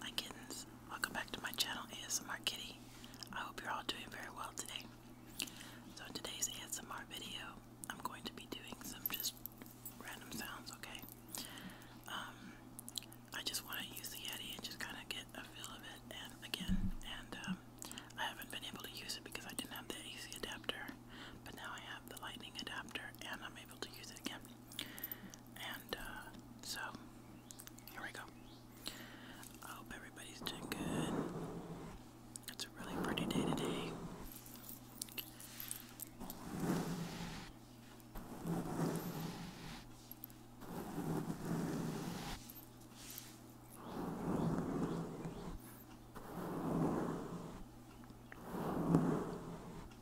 Hi kittens, welcome back to my channel ASMR Kitty. I hope you're all doing very well today. So in today's ASMR video, I'm going to be doing some just random sounds, okay? Um, I just want to use the Yeti and just kind of get a feel of it and again, and um, I haven't been able to use it because I didn't have the AC adapter, but now I have the lightning adapter and I'm able to use it again. And uh, so, here we go. I hope everybody's doing good. It's a really pretty day today.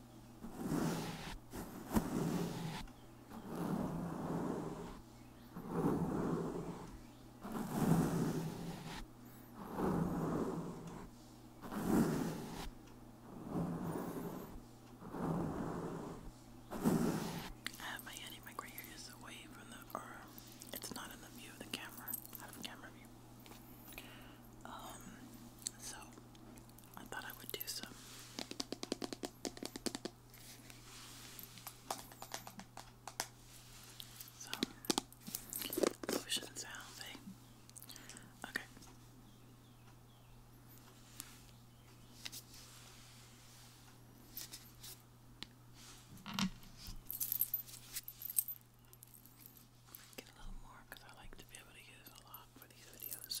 I have my Yeti mic right here just away from the, or it's not in the view of the camera, out of camera view. Um, so I thought I would do some. Some lotion sounds, eh? Okay. Get a little more because I like to be able to use a lot for these videos.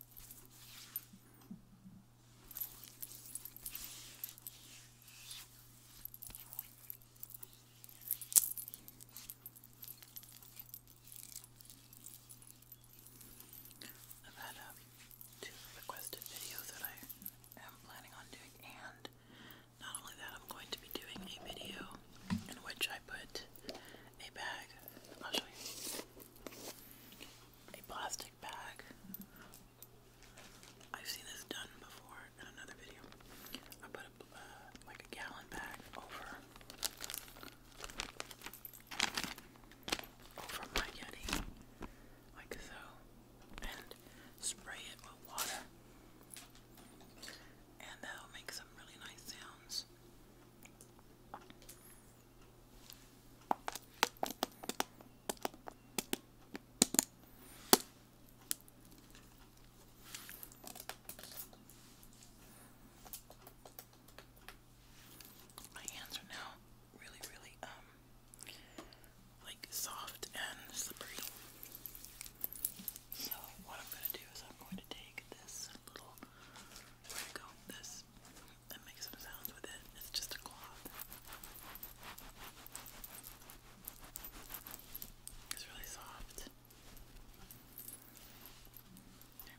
I've had um, two requested videos that I am planning on doing, and not only that, I'm going to be doing a video in which I put a bag. I'll show you a plastic bag. I've seen this done before in another video. I put uh, like a gallon bag over over my Yeti, like so, and spray it with water, and that'll make some really nice sounds. My hands are now really, really, um, like soft and slippery. So, what I'm going to do is I'm going to take this little, where to go, this sounds and make sounds with it. It's just a cloth. It's really soft. Okay.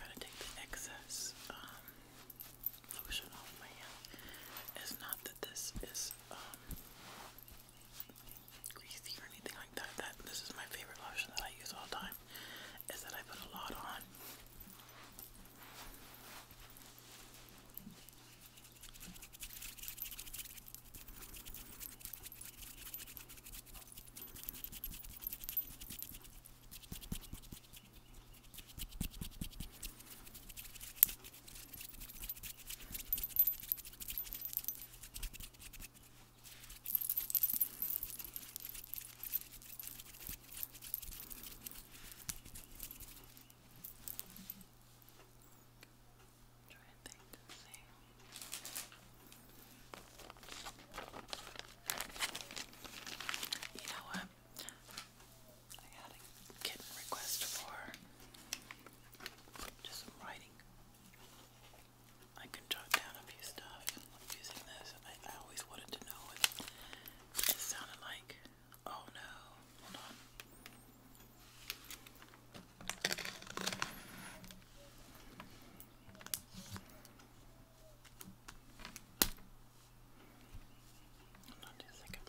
Gotta take the excess um, lotion off my hand. It's not that this is um, greasy or anything like that. That this is my favorite lotion that I use all the time. Is that I put a lot on. Try and think the same. You know what? I had a kitten request for just some writing. I can jot down a few stuff using this. I, I always wanted to know what it sounded like. Oh no, hold on. Hold on just a second.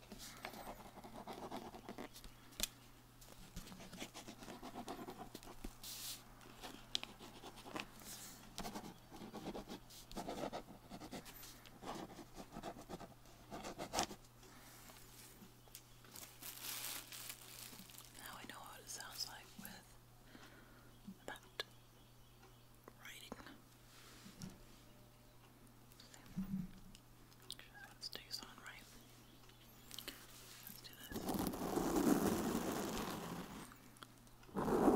Now I know what it sounds like with that writing. That stays on, right? Let's do this. Okay.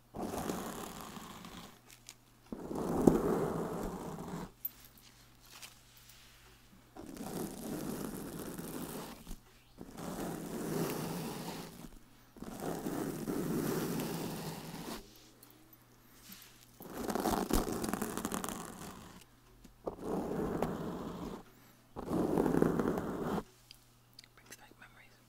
Brings back memories.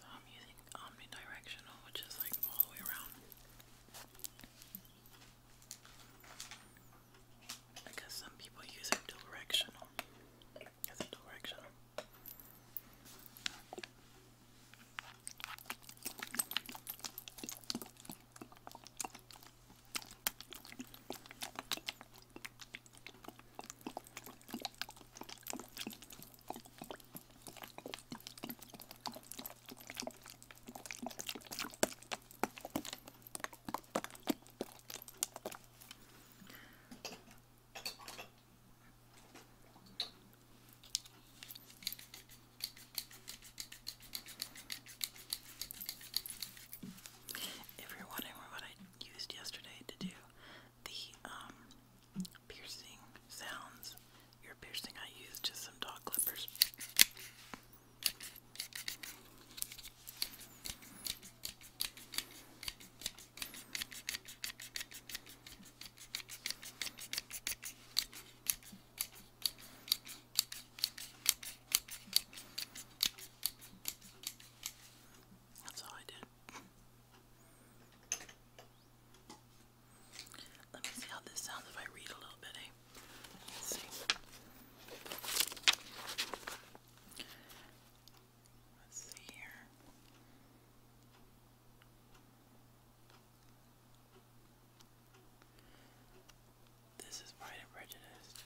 So I'm using omnidirectional, which is like all the way around. I guess some people use directional. As directional. If you're wondering what I used yesterday to do the um, piercing sounds. Your piercing I used just some dog clippers. That's all I did. Let me see how this sounds if I read a little bit, eh? Let's see. Let's see here. This is Pride and Prejudice.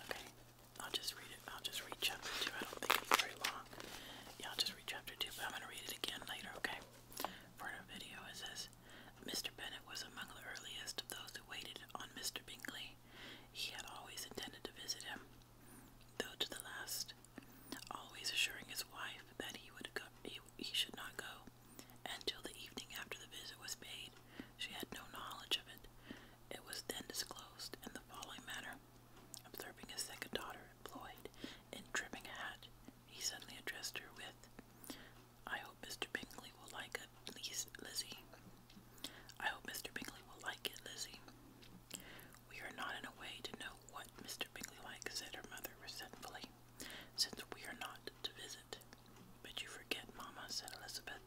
Okay, I'll just read it. I'll just read chapter 2. I don't think it's very long. Yeah, I'll just read chapter 2, but I'm going to read it again later, okay? For a video, it says Mr. Bennett was among the earliest of those who waited on Mr. Bingley. He had always intended to visit him, though to the last, always assuring his wife that he would go, he should not go until the evening after the visit was paid, she had no knowledge of it. It was then disclosed in the following manner. Observing his second daughter employed in trimming a hat, he suddenly addressed her with, I hope Mr. Bingley will like it, Lizzie. I hope Mr. Bingley will like it, Lizzie. We are not in a way to know what Mr. Bingley likes, said her mother resentfully, since we are not to visit. But you forget, Mamma, said Elizabeth,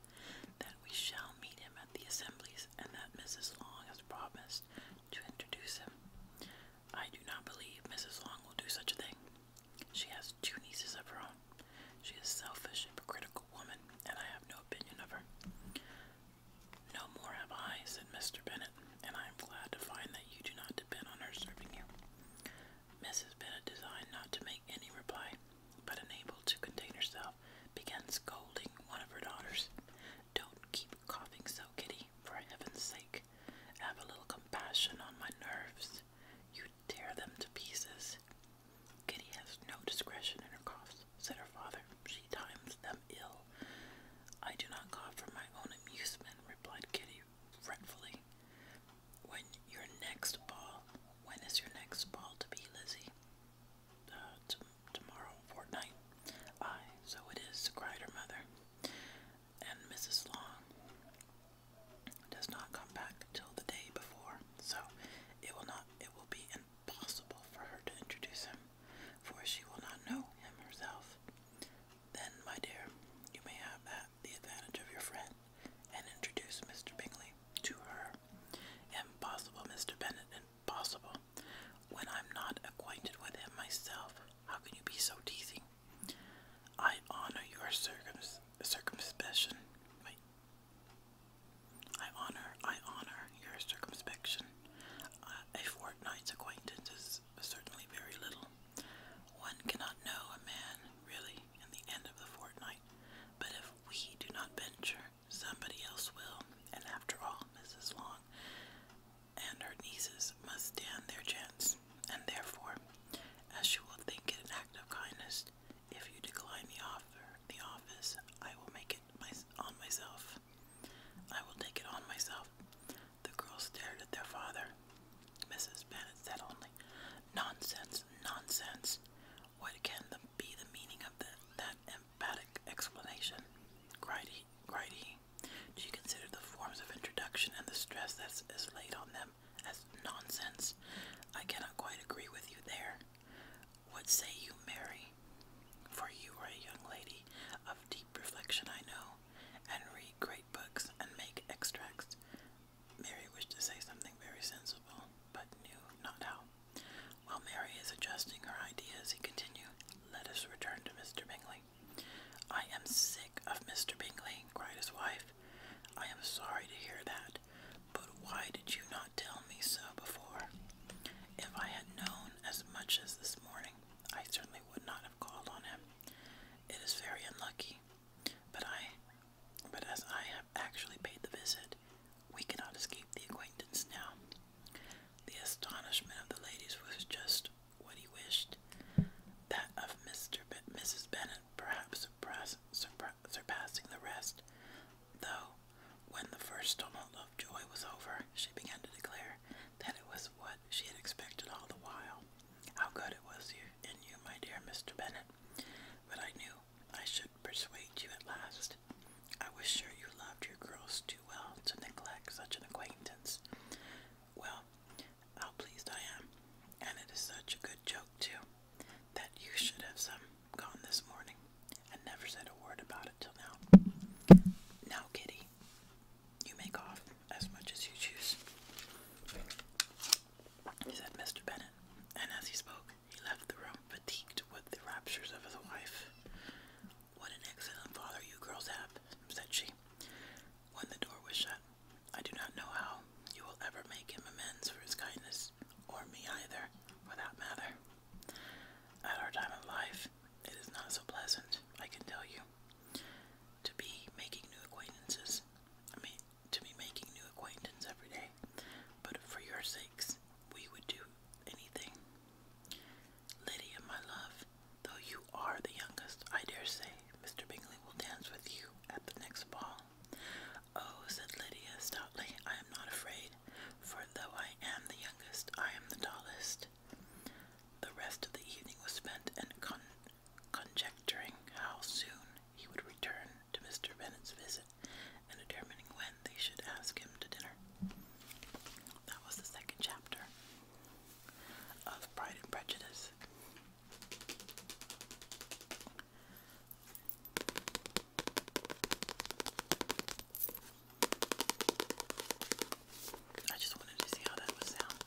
that we shall meet him at the assemblies, and that Mrs. Long has promised to introduce him. I do not believe Mrs. Long will do such a thing. She has two nieces of her own. She is a selfish, hypocritical woman, and I have no opinion of her. No more have I, said Mr. Bennet, and I am glad to find that you do not depend on her serving you. Mrs. Bennet designed not to make any reply, but unable to contain herself, began scolding one of her daughters. Don't keep coughing so, Kitty, for heaven's sake. Have a little compassion on my nerves. You tear them to pieces. Kitty has no discretion in her coughs, said her father. She times them ill. I do not cough for my own amusement, replied Kitty fretfully when your next ball, when is your next ball to be, Lizzie? Uh, tomorrow, fortnight. Aye, so it is, cried her mother. And Mrs. Long does not come back till the day before, so it will not, it will be impossible for her to introduce him, for she will not know him herself. Then, my dear, you may have at the advantage of your friend and introduce Mr. Bingley to her. Impossible, Mr. Bennet, impossible. When I'm not acquainted with him myself, how can you be so teasing? I honor your circums circumspection. I honor, I honor your circumspection. a fortnight's acquaintance is certainly very little. One cannot know a man, really, in the end of the fortnight, but if we do not venture, somebody else will, and after all, Mrs. Long and her nieces must stand their chance, and therefore, as you will think it an act of kindness, if you decline the offer, the office, I will make it my, on myself. I will take it on myself. The girls stared at their father. Mrs. Bennett said only, Nonsense, nonsense. What can be the meaning of that emphatic explanation? Cried he, cried he. Do you consider the forms of introduction and the stress that is laid on them as nonsense? I cannot quite agree with you there. What say you, Mary? For you are a young lady of deep reflection, I know, and read great books and make extracts. Mary wished to say something very sensible, but knew not how. While Mary is adjusting her ideas, he continued, Let us return to Mr. Bingley. I am sick of Mr. Bingley, cried his wife. I am sorry to hear that, but why did you not tell me so before? If I had known as much as this morning, I certainly would not have called on him. It is very unlucky but I, but as I have actually paid the visit, we cannot escape the acquaintance now. The astonishment of the ladies was just what he wished. That of Mr. Be Mrs. Bennet, perhaps surpass surpa surpassing the rest. Though, when the first tumult of joy was over, she began to declare that it was what she had expected all the while. How good it was you in you, my dear Mr. Bennet. But I knew I should persuade you at last. I was sure you loved your girls too well to neglect such an acquaintance. Well, how pleased I am, and it is such a good joke, too, that you should have some gone this morning and never said a word about it till now. Now, Kitty, you make off as much as you choose. He said, Mr. Bennett, and as he spoke, he left the room, fatigued with the raptures of his wife. What an excellent father you girls have, said she, when the door was shut. I do not know how you will ever make him amends for his kindness, or me either, for that matter. At our time of life, it is not so pleasant, I can tell you, to be making new acquaintances. I mean, to be making new acquaintances every day, but for your sakes, we would do anything. Lydia, my love, though you are the youngest, I dare say Mr. Bingley will dance with you at the next ball. Oh, said Lydia stoutly, I am not afraid, for though I am the youngest, I am the tallest. The rest of the evening was spent in con conjecturing how soon he would return to Mr. Bennet's visit, and determining when they should ask him to dinner. That was the second chapter of Pride and Prejudice. I just wanted to see how that would sound.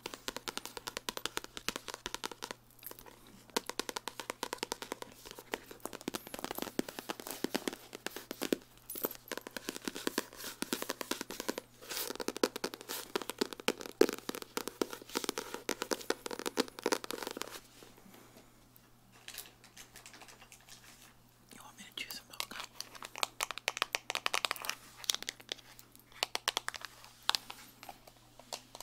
You want me to choose some milk?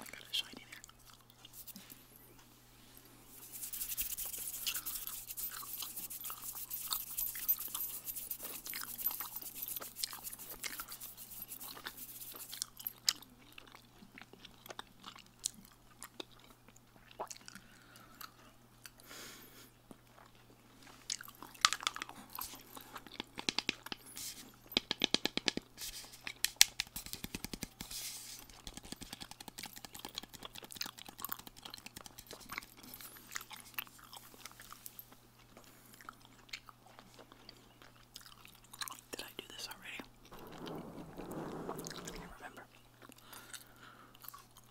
I got a shiny there. Did I do this already? I can't remember.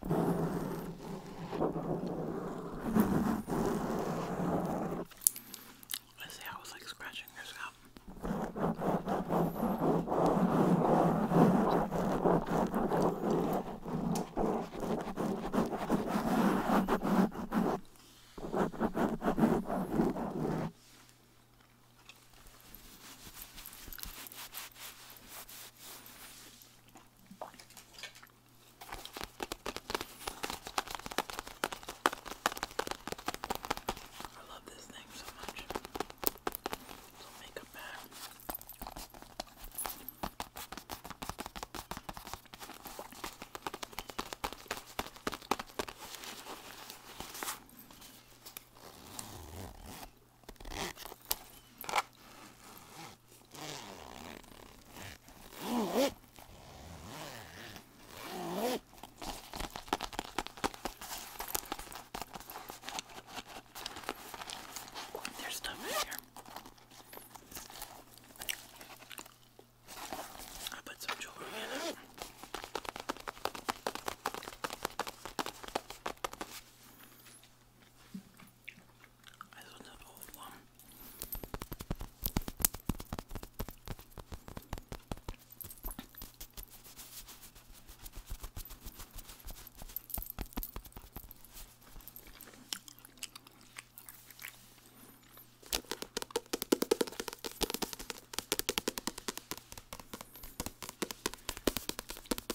Let's see, I was like scratching this out. I love this thing so much. Little makeup bag. There's stuff in here. I put some jewelry in it. This one's an old one.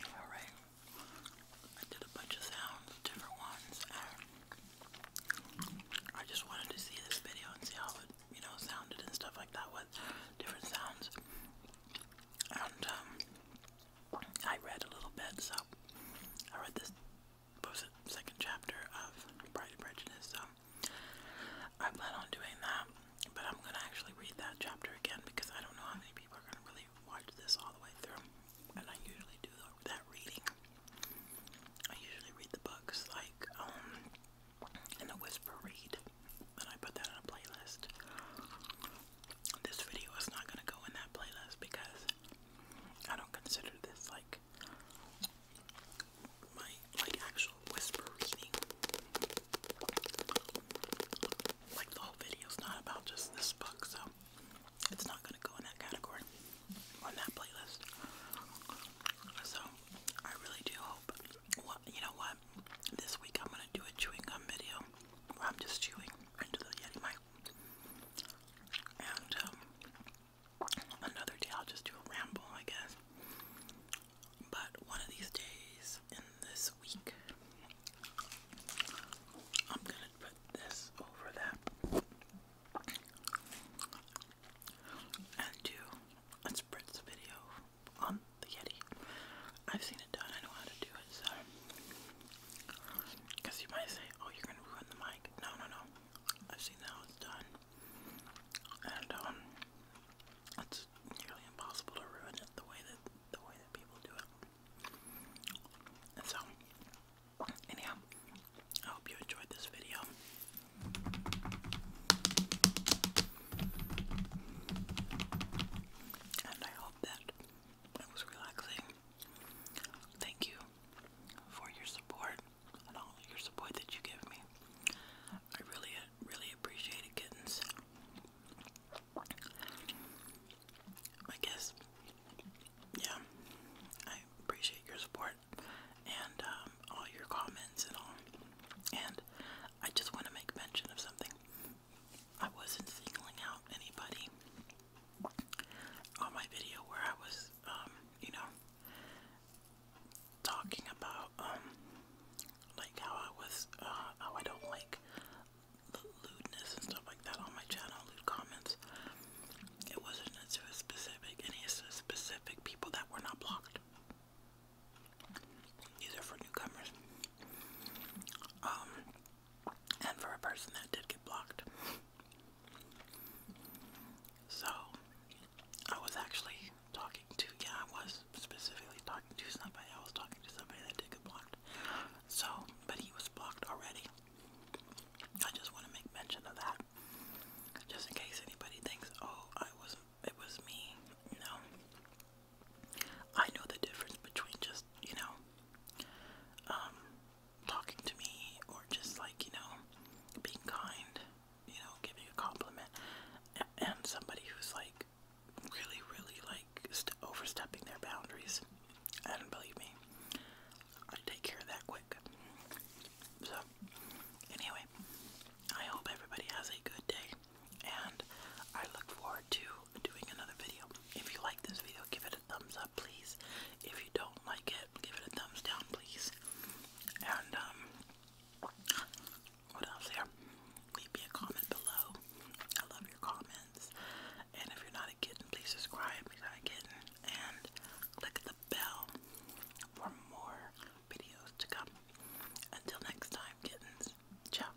All right. I did a bunch of sounds, different ones, I just wanted to see this video and see how it, you know, sounded and stuff like that with different sounds. And um, I read a little bit, so I read this second chapter of Pride and Prejudice, so I plan on doing that, but I'm gonna actually read that chapter again because I don't know how many people are gonna really watch this all the way through, and I usually do that reading. I usually read the books like um in a whisper read, and I put that on a playlist this video is not gonna go in that playlist because I don't consider this like my like actual whisper reading. Like the whole video is not about just this book, so it's not gonna go in that category on that playlist. So I really do hope. What you know what? This week I'm gonna do a chewing gum video. Where I'm just chewing into the Yeti mic. And um, another day I'll just do a ramble, I guess. But one of these days in this week, I'm gonna put this over that and do a spritz video on the Yeti. I've seen it done. I know how to do it. So, you might say, "Oh, you're gonna ruin the mic." No, no, no. I've seen how it's done, and um, it's nearly impossible to ruin it the way that the way that people do it. And so, anyhow, I hope you enjoyed this video. And I hope that it was relaxing. Thank you for your support and all your support that you give me. I really, really appreciate it, kittens. I guess, yeah, I appreciate your support and um, all your comments and all. And I just want to make mention of something. I wasn't singling out anybody on my video where I was, um, you know, talking about, um, like how I was, uh, how I don't like lewdness and stuff like that on my channel, lewd comments. It wasn't to specific, any specific people that were not blocked. These are for newcomers. Um, and for a person that did get blocked. So, I was actually talking to, yeah, I was specifically talking to somebody. I was talking to somebody that did get blocked. So, but he was blocked already. I just want to make mention of that. Just in case anybody thinks, oh, I was, it was me, you know. I know the difference between just, you know, um, talking to me or just like, you know, being kind, you know, giving a compliment, and somebody who's like really, really like st overstepping their boundaries. And believe me, I take care of that quick. So, anyway, I hope everybody has a good day and I look forward to doing another video. If you like this video, give it a thumbs up, please. If you don't like it, give it a thumbs down, please. And, um, what else here? Leave me a comment below. I love your comments. And if you're not a kitten, please subscribe. If you're not and click the bell for more videos to come. Until next time, kittens. Ciao.